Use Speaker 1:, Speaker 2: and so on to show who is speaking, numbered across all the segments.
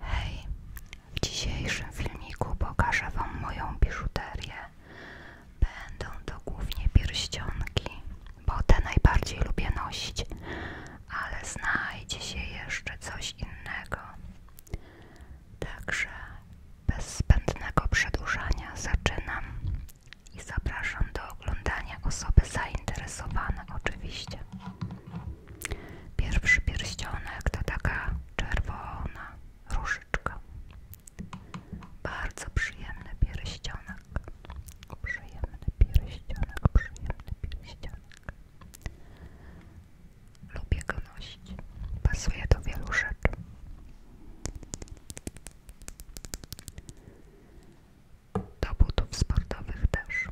Speaker 1: Hej, w dzisiejszym filmiku pokażę Wam moją biżuterię. Będą to głównie pierścionki, bo te najbardziej lubię nosić, ale znajdzie się jeszcze coś innego. Także bez spędnego przedłużania zaczynam i zapraszam do oglądania osoby zainteresowane oczywiście. Pierwszy pierścionek to taka czerwona różyczka. Bardzo przyjemny pierścionek. Przyjemny pierścionek, przyjemny pierścionek. Lubię go nosić. Pasuje do wielu rzeczy. Do butów sportowych też.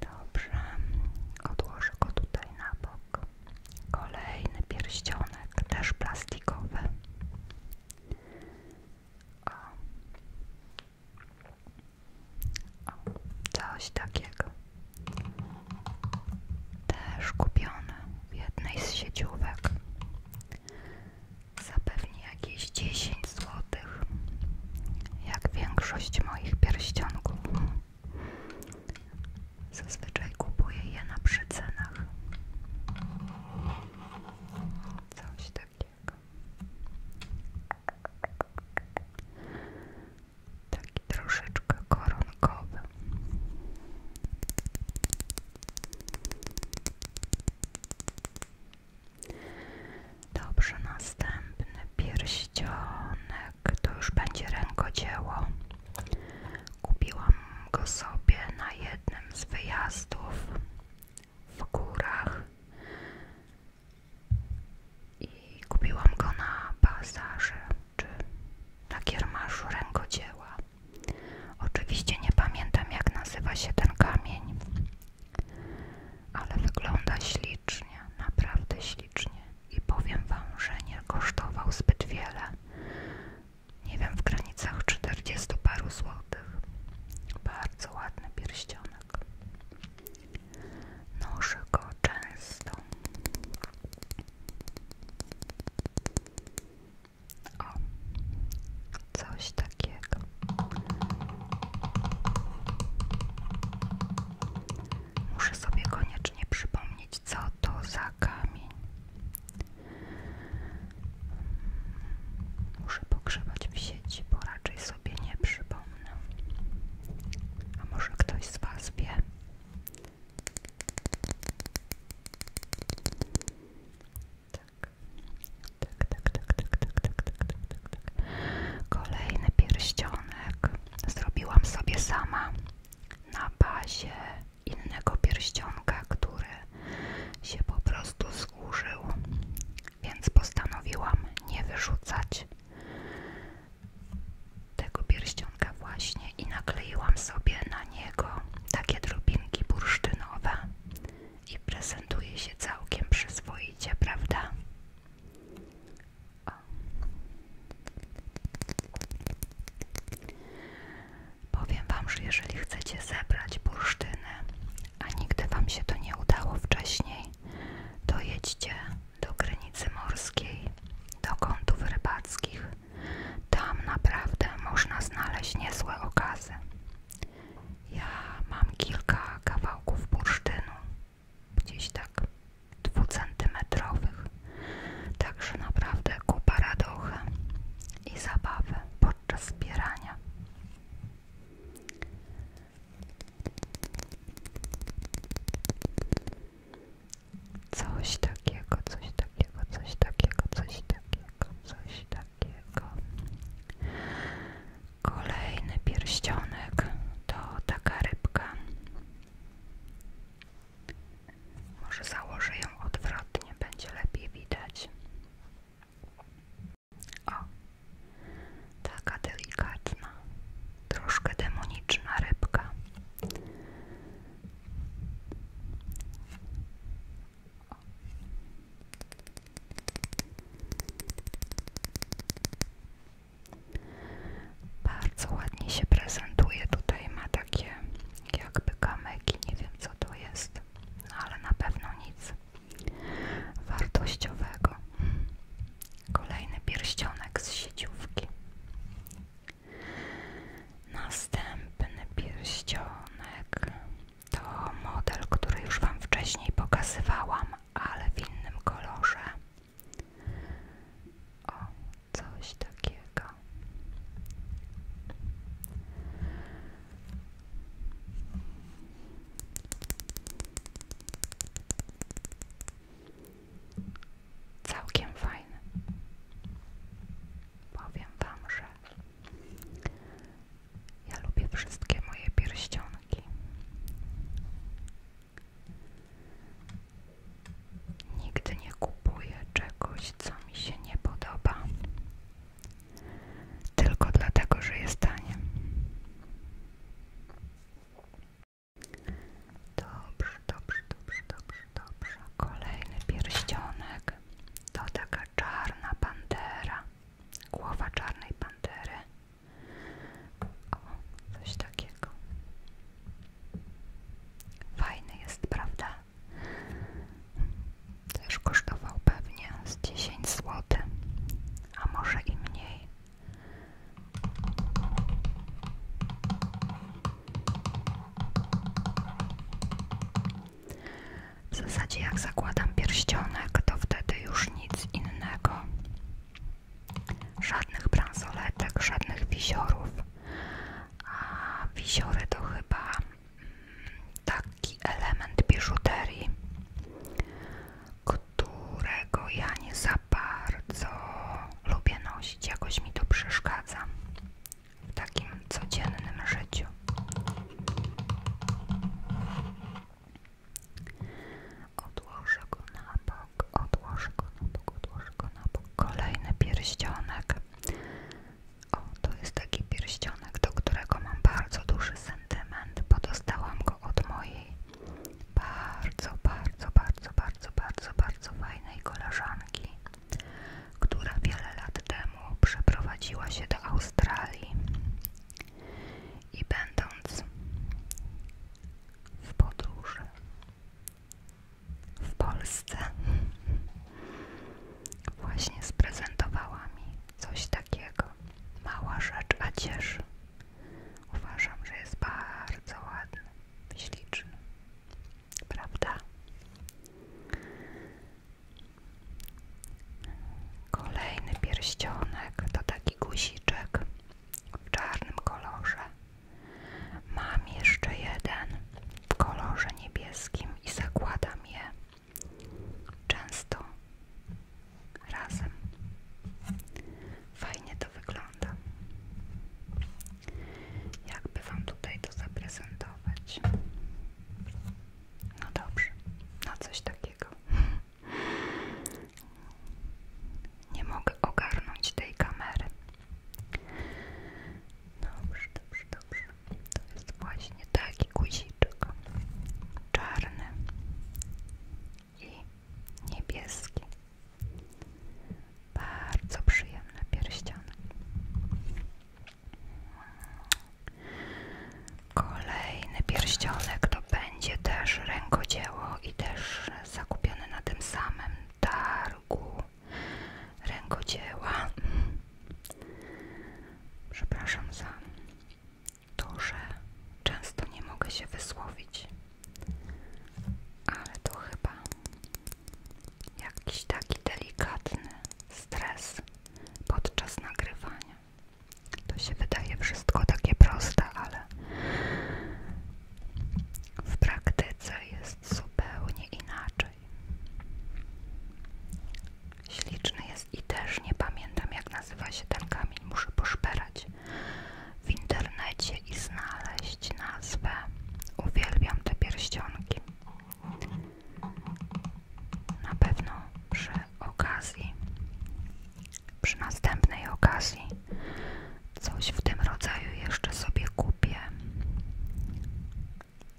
Speaker 1: Dobrze, odłożę go tutaj na bok. Kolejny pierścionek, też plastikowy. O, coś takiego. Też kupione w jednej z sieciówek. Zapewnie jakieś 10 zł. Jak większość moich pierścionków. Zazwyczaj kupuję je na przycenach. Coś takiego. Taki troszeczkę koronkowy. Dobrze, następny pierścionek. To już będzie rękodzieło. Kupiłam go sobie na jednym z wyjazdów w górach i kupiłam go na bazarze czy na kiermaszu rękodzieła. Oczywiście nie pamiętam jak nazywa się ten kamień, ale wygląda ślicznie, naprawdę ślicznie i powiem wam, że nie kosztował zbyt wiele. Nie wiem, w granicach 40 paru złotych. Bardzo ładny pierścionek. Noszę go często. O, coś takiego. Muszę sobie koniecznie przypomnieć, co to za kamień. Muszę pogrzebać w sieci, bo raczej sobie nie przypomnę. A może ktoś z Was tak tak, tak. tak, tak, tak, tak, tak, tak, tak, tak, Kolejny pierścionek zrobiłam sobie sama na bazie innego pierścionka, który się po prostu złożył więc postanowiłam nie wyrzucać tego pierścionka właśnie i nakleiłam sobie na niego takie drobinki bursztynowe i prezentuje się całkiem przyzwoicie, prawda? Powiem Wam, że jeżeli chcecie zebrać bursztyny a nigdy Wam się to nie udało wcześniej, to jedźcie do granicy morskiej, do kątów rybackich. Tam naprawdę można znaleźć niezłe okazy. Ja mam kilka kawałków bursztynu, gdzieś tak dwucentymetrowych, także naprawdę kupa radochy i zabawy podczas zbierania. Coś takiego, coś takiego, coś takiego, coś takiego, coś takiego. Kolejny pierścionek to taka rybka. Może założę ją odwrotnie, będzie lepiej widać. O, taka delikatna, troszkę demoniczna rybka. O. Bardzo ładnie się prezentuje. Tutaj ma takie jakby kamyki, nie wiem co to jest, no ale na pewno nic wartościowego. Kolejny pierścionek z siedziówki. Następny pierścionek to model, który już Wam wcześniej pokazywałam, ale w innym kolorze. O, coś takiego. Całkiem fajny. Powiem Wam, że ja lubię wszystkie moje pierścionki. Nigdy nie kupuję czegoś, co mi się nie podoba tylko dlatego, że jest tanie. Dobrze, dobrze, dobrze, dobrze, dobrze. Kolejny pierścionek to taka czarna pantera, głowa czarnej pantery. O, coś takiego. Fajny jest, prawda? Też kosztował pewnie z dziesięć zł a może i mniej. W zasadzie jak zakładam pierścionek, to wtedy już nic innego. Żadnych bransoletek, żadnych wisiorów. A wisiory to chyba mm, taki element biżuterii, którego ja nie za bardzo lubię nosić. Jakoś mi to przeszkadza w takim codziennym życiu. Odłożę go na bok, odłożę go na bok, odłożę go na bok. Kolejny pierścionek. O, to jest taki pierścionek, do którego mam bardzo duży sentyment, bo dostałam go od mojej bardzo, bardzo, bardzo, bardzo, bardzo, bardzo fajnej koleżanki, która wiele lat temu przeprowadziła się do Australii i będąc w podróży w Polsce właśnie sprezentowała mi Coś takiego. Mała rzecz, a cieszy. Uważam, że jest bardzo ładny, śliczny. Prawda? Kolejny pierścionek to taki guziczek w czarnym kolorze. Mam jeszcze jeden w kolorze niebieskim i zakładam je Często razem. Fajnie to wygląda. Jakby Wam tutaj to zaprezentować. No dobrze, no coś takiego. Nie mogę ogarnąć tej kamery. No Dobrze, dobrze, dobrze. To jest właśnie taki guziczek. Czarny i niebieski. Bardzo przyjemny pierścionek. Kolejny pierścionek to będzie też rękodzieło i też zakupione na tym samym targu rękodzieła. Przepraszam za to, że często nie mogę się wysłowić, ale to chyba jakiś taki delikatny stres podczas nagrywania. To się wydaje wszystko takie proste, ale w praktyce jest zupełnie inaczej. Śliczny jest i też nie pamiętam jak nazywa się ten kamień, muszę poszperać w internecie i znaleźć nazwę. Uwielbiam te pierścionki. Na pewno przy okazji, przy następnej okazji coś w tym rodzaju jeszcze sobie kupię.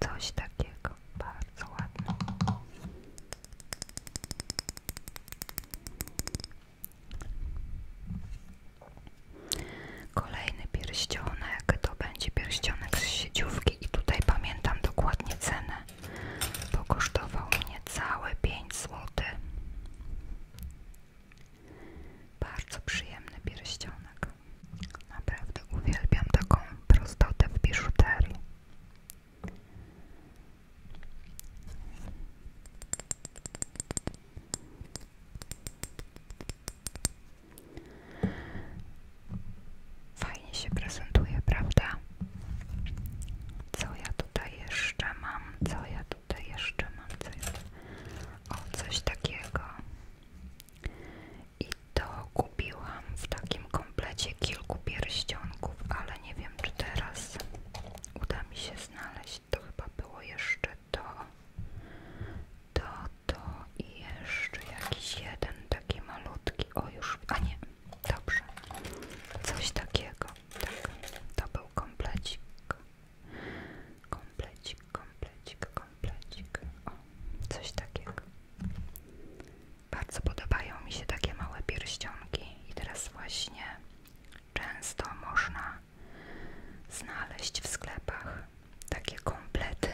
Speaker 1: Coś takiego bardzo ładne. Kolejny pierścionek to będzie pierścionek z sieciówki i tutaj pamiętam dokładnie cenę, bo kosztował mnie całe pięć zł. Bardzo przyjemny pierścionek. Naprawdę uwielbiam taką prostotę w biżuterii. Fajnie się prezentuje, prawda? Co ja tutaj jeszcze mam? Co ja tutaj jeszcze mam? Co O, coś takiego. I to kupiłam w takim komplecie kilku pierścionków, ale nie wiem czy teraz uda mi się znaleźć. To chyba było jeszcze to, to, to i jeszcze jakiś jeden taki malutki. O już, a nie, dobrze. Coś takiego. Tak, to był komplecik. Komplecik, komplecik, komplecik. O, coś takiego. Bardzo podobają mi się takie małe pierścionki i teraz właśnie często można znaleźć w sklepach takie komplety.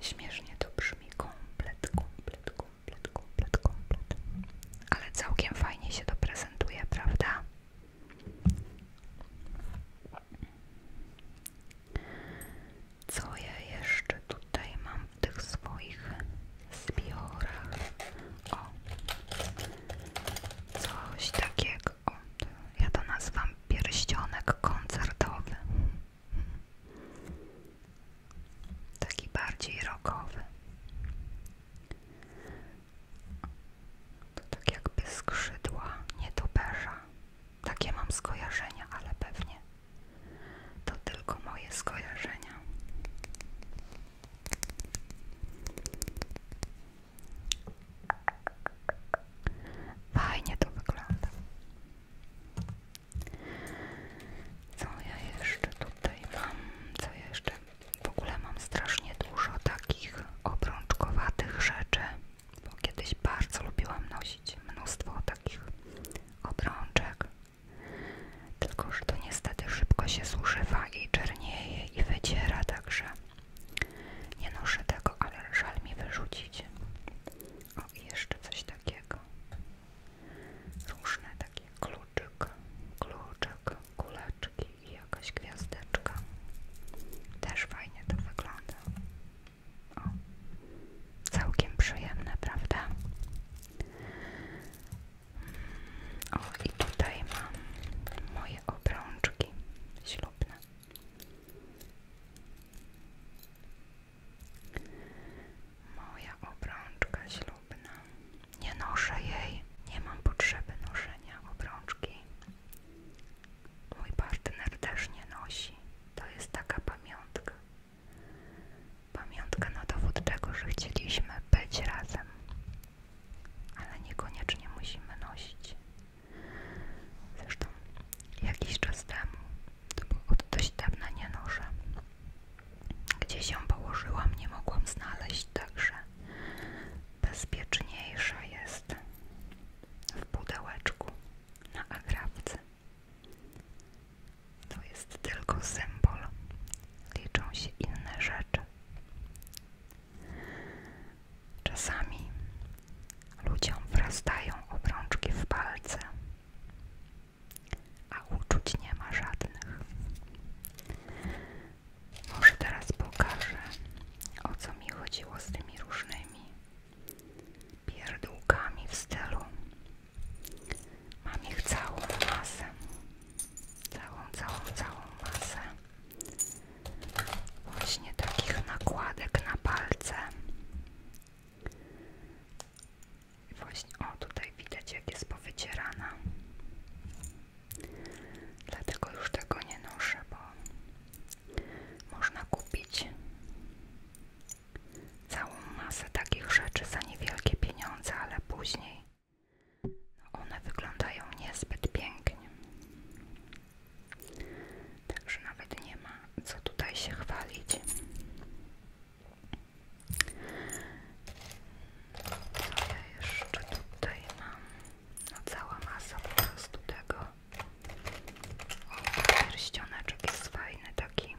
Speaker 1: Śmiesznie to brzmi komplet, komplet, komplet, komplet, komplet. Ale całkiem fajnie się to prezentuje, prawda? Co je jeszcze tutaj mam w tych swoich zbiorach. O, coś takiego. ja to nazywam pierścionek koncertowy. Taki bardziej rokowy. To tak jakby skrzydła nietoperza. Takie mam skojarzenia, ale pewnie to tylko moje skojarzenia. Fajnie to wygląda. Co ja jeszcze tutaj mam? Co ja jeszcze? W ogóle mam strasznie dużo takich obrączkowatych rzeczy, bo kiedyś bardzo lubiłam nosić mnóstwo takich obrączek tylko, że to niestety szybko się zużywa i czernieje i wyciera, także nie noszę tego, ale żal mi wyrzucić. O, i jeszcze coś takiego. Różne takie kluczyk, kluczek, kuleczki i jakaś gwiazdeczka. Też fajnie to wygląda. O. Całkiem przyjemne, prawda? O, i tutaj mam moje obrączki ślubne. Moja obrączka ślubna. Nie noszę jej. Nie mam potrzeby noszenia obrączki. Mój partner też nie nosi. To jest taka pamiątka. Pamiątka na dowód że chcieliśmy być razem, ale niekoniecznie musimy nosić. Zresztą jakiś czas temu, to było od dość dawna nie noszę, gdzie się położyłam, nie mogłam znaleźć, także bezpieczniejsza jest w pudełeczku na agrawce. To jest tylko symbol. Liczą się inne rzeczy. Czasami ludziom wrastają obrączki w palce, a uczuć nie ma żadnych. Może teraz pokażę, o co mi chodziło z tymi różnymi pierdółkami w stylu Mam ich całą masę. Całą, całą, całą masę. Właśnie takich nakładek na palce. Właśnie, o tutaj widać jak jest powycierana. Dlatego już tego nie noszę, bo można kupić całą masę takich rzeczy za niewielkie pieniądze, ale później one wyglądają niezbyt pięknie. Także nawet nie ma co tutaj się chwalić. Co ja jeszcze tutaj mam? No cała masa po prostu tego. O, pierścioneczek jest fajny taki.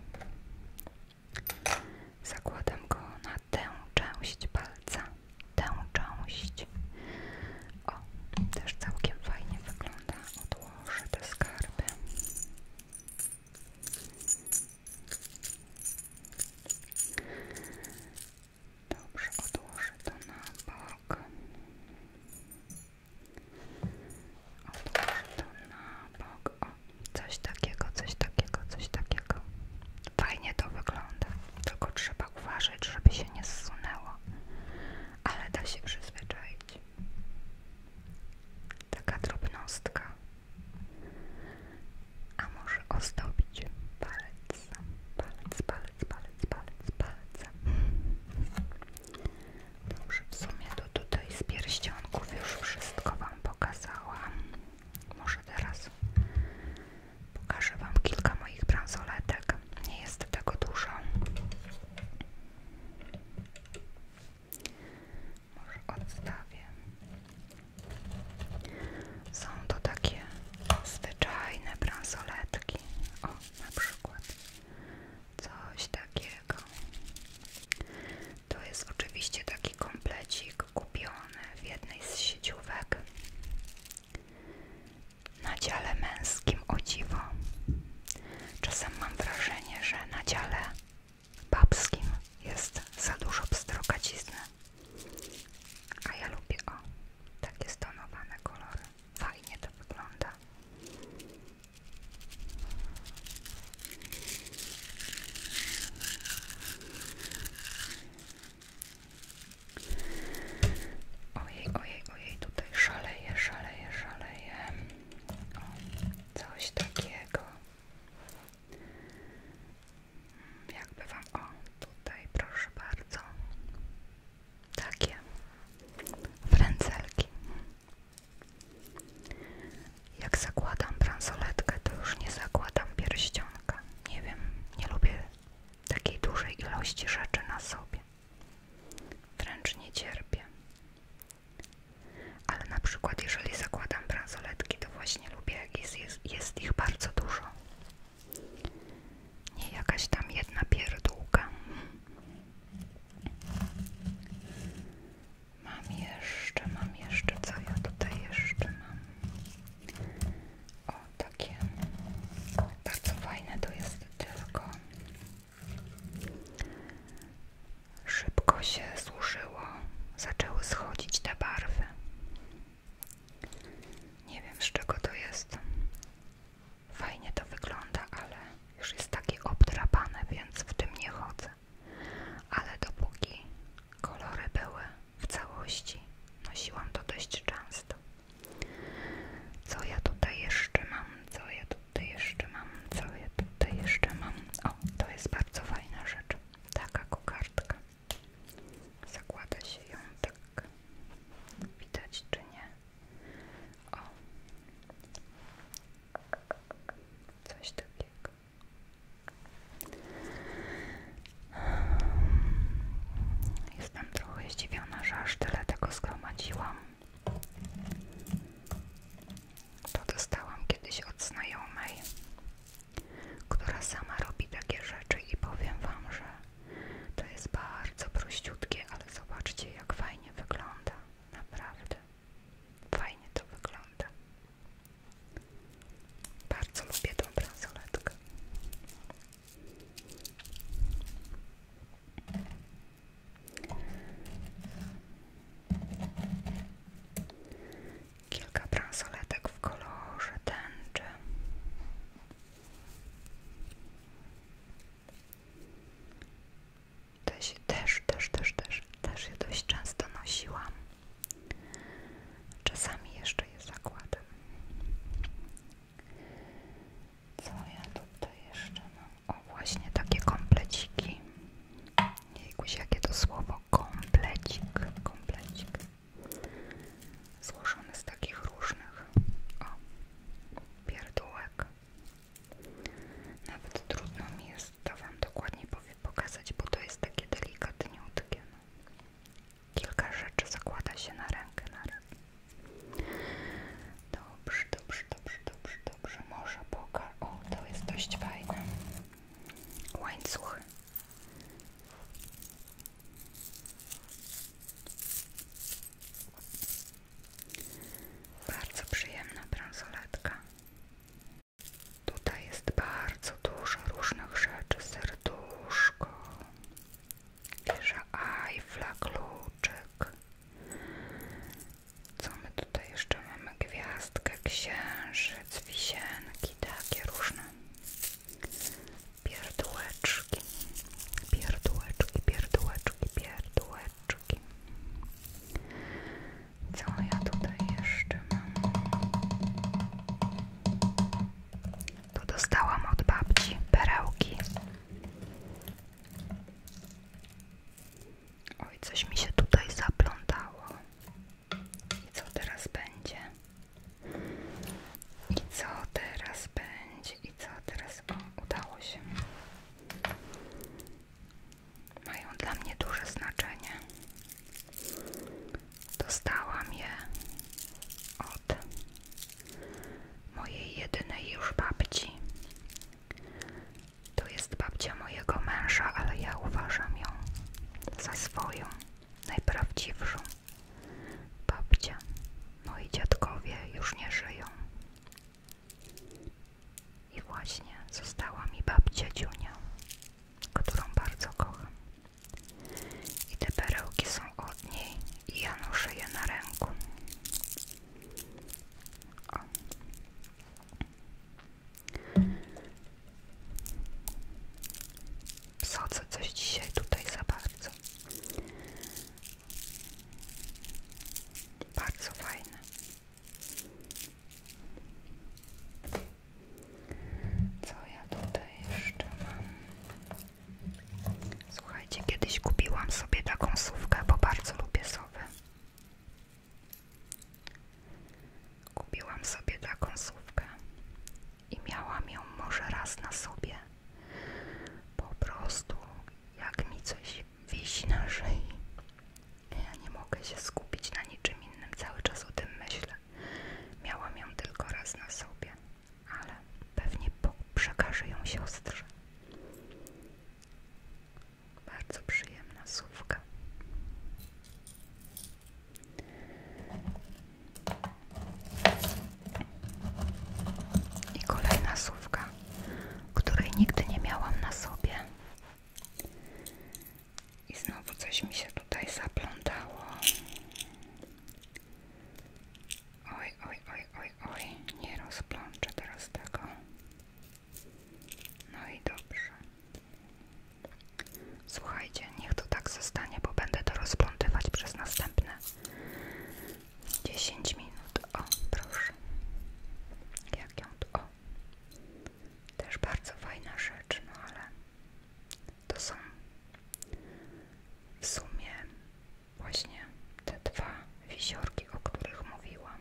Speaker 1: Zakładam go na tę część palca. Tę część. O, też całkiem fajnie wygląda. Odłożę te skarby. Dobrze, odłożę to na bok coś takiego, coś takiego, coś takiego. Fajnie to wygląda, tylko trzeba uważać, żeby się nie zsunęło, ale da się przyzwyczaić. Taka drobnostka. A może ozdobić palec, palec, palec, palec, palec, palec. Dobrze, w sumie to tutaj z pierścionków już wszystko Wam pokazałam. Może teraz pokażę Wam kilka moich bransoletek. Nie jest tego dużo. Może odstawię. Są to takie zwyczajne bransoletki. O, na przykład coś takiego. To jest oczywiście taki komplecik kupiony w jednej z sieciówek na dziale męskim, o dziwo. Czasem mam wrażenie, że na dziale babskim jest za dużo pstrokacizny. A ja lubię, o, takie stonowane kolory. Fajnie to wygląda. Ojej, ojej, ojej, tutaj szaleje, szaleje, szaleje. O, coś takiego. Jakby wam, o, tutaj proszę bardzo. Takie frędzelki. Jak zakładam bransoletkę, to już nie zakładam pierścionka. Nie wiem, nie lubię takiej dużej ilości rzeczy na sobie. Wręcz nie cierpię. Ale na przykład, jeżeli zakładam bransoletki, to właśnie lubię, jak jest, ich bardzo dużo. Nie jakaś tam jedna pierdółka. Mam jeszcze, mam jeszcze, co ja tutaj jeszcze mam? O, takie bardzo fajne to jest tylko szybko się zużyło, zaczęły schodzić te barwy. Nie wiem z czego to jest. Fajnie to wygląda, ale już jest takie obdrapane, więc w tym nie chodzę ale dopóki kolory były w całości, nosiłam to dość często. Co ja tutaj jeszcze mam? Co ja tutaj jeszcze mam? Co ja tutaj jeszcze mam? O, to jest bardzo fajna rzecz. Taka kokardka. Zakłada się ją tak. Widać czy nie? O. Coś takiego. Jestem trochę zdziwiona, że aż tyle tego zgromadziłam. To dostałam kiedyś od znajomej, która sama robi takie rzeczy i powiem wam, że to jest bardzo prościutkie, ale zobaczcie jak fajnie wygląda, naprawdę. Fajnie to wygląda. Bardzo lubię tą bransoletkę. Kilka bransoletek w kolorze tęczy też, też, też, też, też, też je dość często nosiłam. Czasami jeszcze je zakładam. Co ja tutaj jeszcze mam? O, właśnie takie kompleciki. Jejkuś, jakie to słowo komplecik, komplecik. Złożony z takich różnych o, pierdółek. Nawet trudno mi jest to Wam dokładnie pokazać, bo to jest takie delikatne, No. Kilka rzeczy zakłada się na rękę naraz. Dobrze, dobrze, dobrze, dobrze, dobrze. Może pokaż. O, to jest dość fajne. Łańcuchy. Bardzo przyjemna bransoletka. Tutaj jest bardzo dużo różnych rzeczy. Serduszko, wieża Eiffla, kluczyk. Co my tutaj jeszcze mamy? Gwiazdkę, księżyc, wisienki, takie różne. Pierdółeczki, pierdółeczki, pierdółeczki, pierdółeczki. Co ja tutaj jeszcze mam? to dostałam od babci perełki. Oj, coś mi się tutaj zaplątało. I co teraz będzie? I co teraz będzie? I co teraz? O, udało się mają dla mnie duże znaczenie. Dostałam je od mojej jedynej już babci. To jest babcia mojego męża, ale ja uważam ją za swoją, najprawdziwszą babcię. Moi dziadkowie już nie żyją. I właśnie została mi babcia Dziunia, którą bardzo kocham. I te perełki są od niej i ja noszę je na ręku. O. Wsadzę coś dzisiaj tutaj za bardzo. Bardzo fajne. Co ja tutaj jeszcze mam? Słuchajcie, kiedyś kupiłam sobie taką sówkę, bo bardzo lubię sowy. Kupiłam sobie taką sówkę i miałam ją może raz na sobie. Po prostu, jak mi coś wisi na szyi. Ja nie mogę się skupić na niczym innym, cały czas o tym myślę. Miałam ją tylko raz na sobie, ale pewnie przekaże ją siostrze. Bardzo przyjemna słówka. I kolejna słówka, której nigdy nie miałam na sobie, i znowu coś mi się tutaj zaplątało. Oj, oj, oj, oj, oj, nie rozplączę teraz tego. No i dobrze. Słuchajcie, niech to tak zostanie, bo będę to rozplątywać przez następne 10 minut. O, proszę. Jak ją tu? O. Też bardzo fajna rzecz, no ale to są w sumie właśnie te dwa wisiorki, o których mówiłam.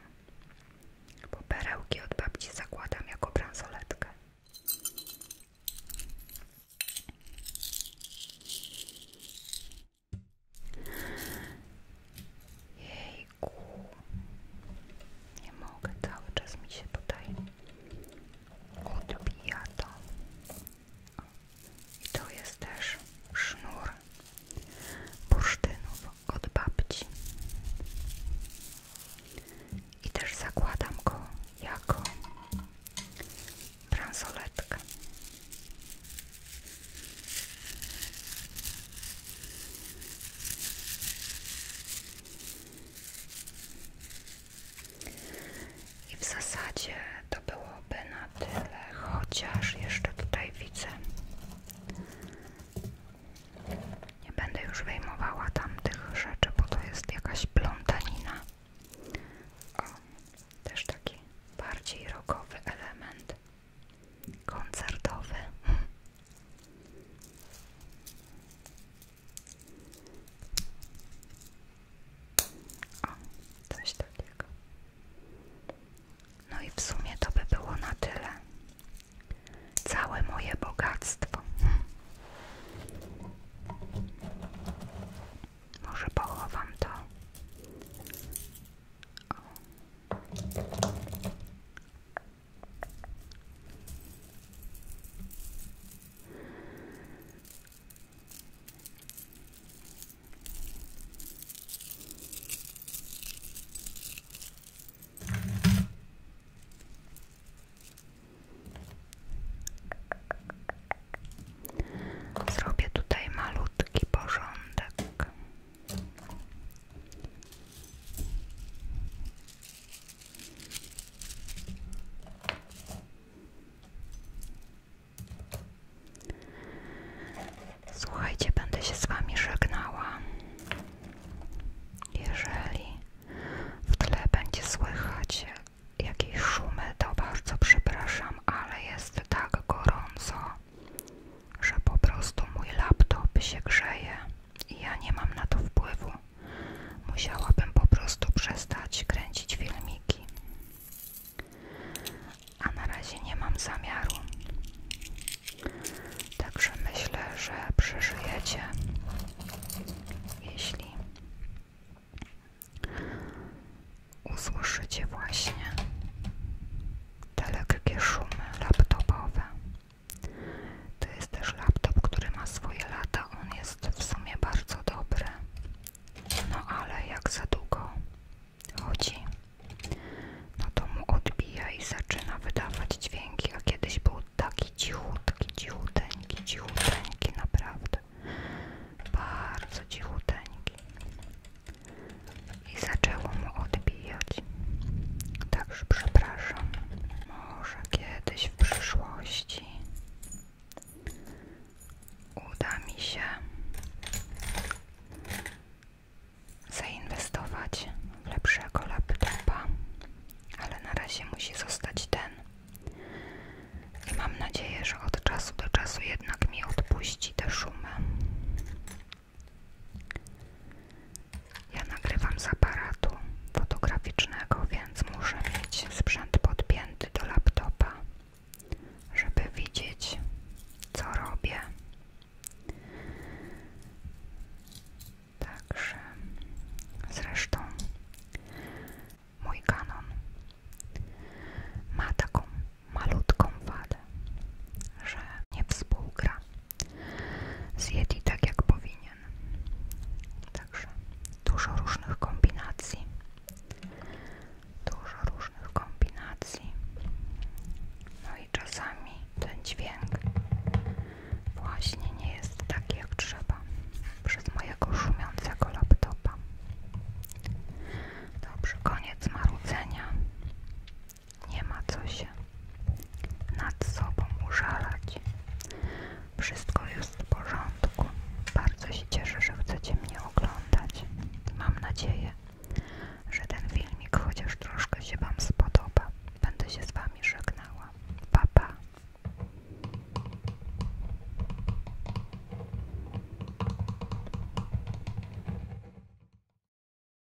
Speaker 1: Bo perełki od babci zakładam jako bransoletkę. Jej, nie mogę, cały czas mi się tutaj odbija to. I to jest też sznur bursztynów od babci. I też zakładam go jako bransoletkę. I w zasadzie to byłoby na tyle, chociaż jeszcze tutaj widzę. Nie będę już wyjmowała tamtych rzeczy, bo to jest jakaś plątanina. O, też taki bardziej rogowy element koncertowy. O, No i w sumie to by było na tyle. Całe moje bogactwo. Może pochowam to. Zrobię tutaj malutki porządek. Słuchajcie, będę się z Wami żegnała. Jeżeli w tle będzie słychać jakieś szumy, to bardzo przepraszam, ale jest tak gorąco, że po prostu mój laptop się grzeje i ja nie mam na to wpływu. Musiałabym po prostu przestać kręcić filmiki. A na razie nie mam zamiaru. Także myślę, że przeżyjecie. Jeśli usłyszycie właśnie te lekkie szumy laptopowe to jest też laptop, który ma swoje lata. On jest w sumie bardzo dobry. No ale jak za długo chodzi, no to mu odbija i zaczyna wydawać dźwięki, a kiedyś był taki cichutki, cichuteńki, cichuteńki naprawdę. Bardzo cichuteńki i zaczęło mu odbijać. Także przepraszam. Może kiedyś w przyszłości uda mi się zainwestować w lepszego laptopa, ale na razie musi zostać ten. I mam nadzieję, że od czasu do czasu jednak mi odpuści te szumę. Ja nagrywam z aparatu fotograficznego, więc muszę mieć sprzęt podpięty do laptopa, żeby widzieć, co robię. Także zresztą mój kanon ma taką malutką wadę, że nie współgra Zjedli tak jak powinien. Także dużo różnych kombinacji. Dużo różnych kombinacji. No i czasami ten dźwięk właśnie nie jest taki jak trzeba przez mojego szumiącego laptopa. Dobrze, koniec marudzenia. Nie ma co się nad sobą użalać. Wszystko jest w porządku. Bardzo się cieszę, że chcecie mnie oglądać. Mam nadzieję, że ten filmik chociaż troszkę się Wam spodoba. Będę się z Wami żegnała. Pa, pa.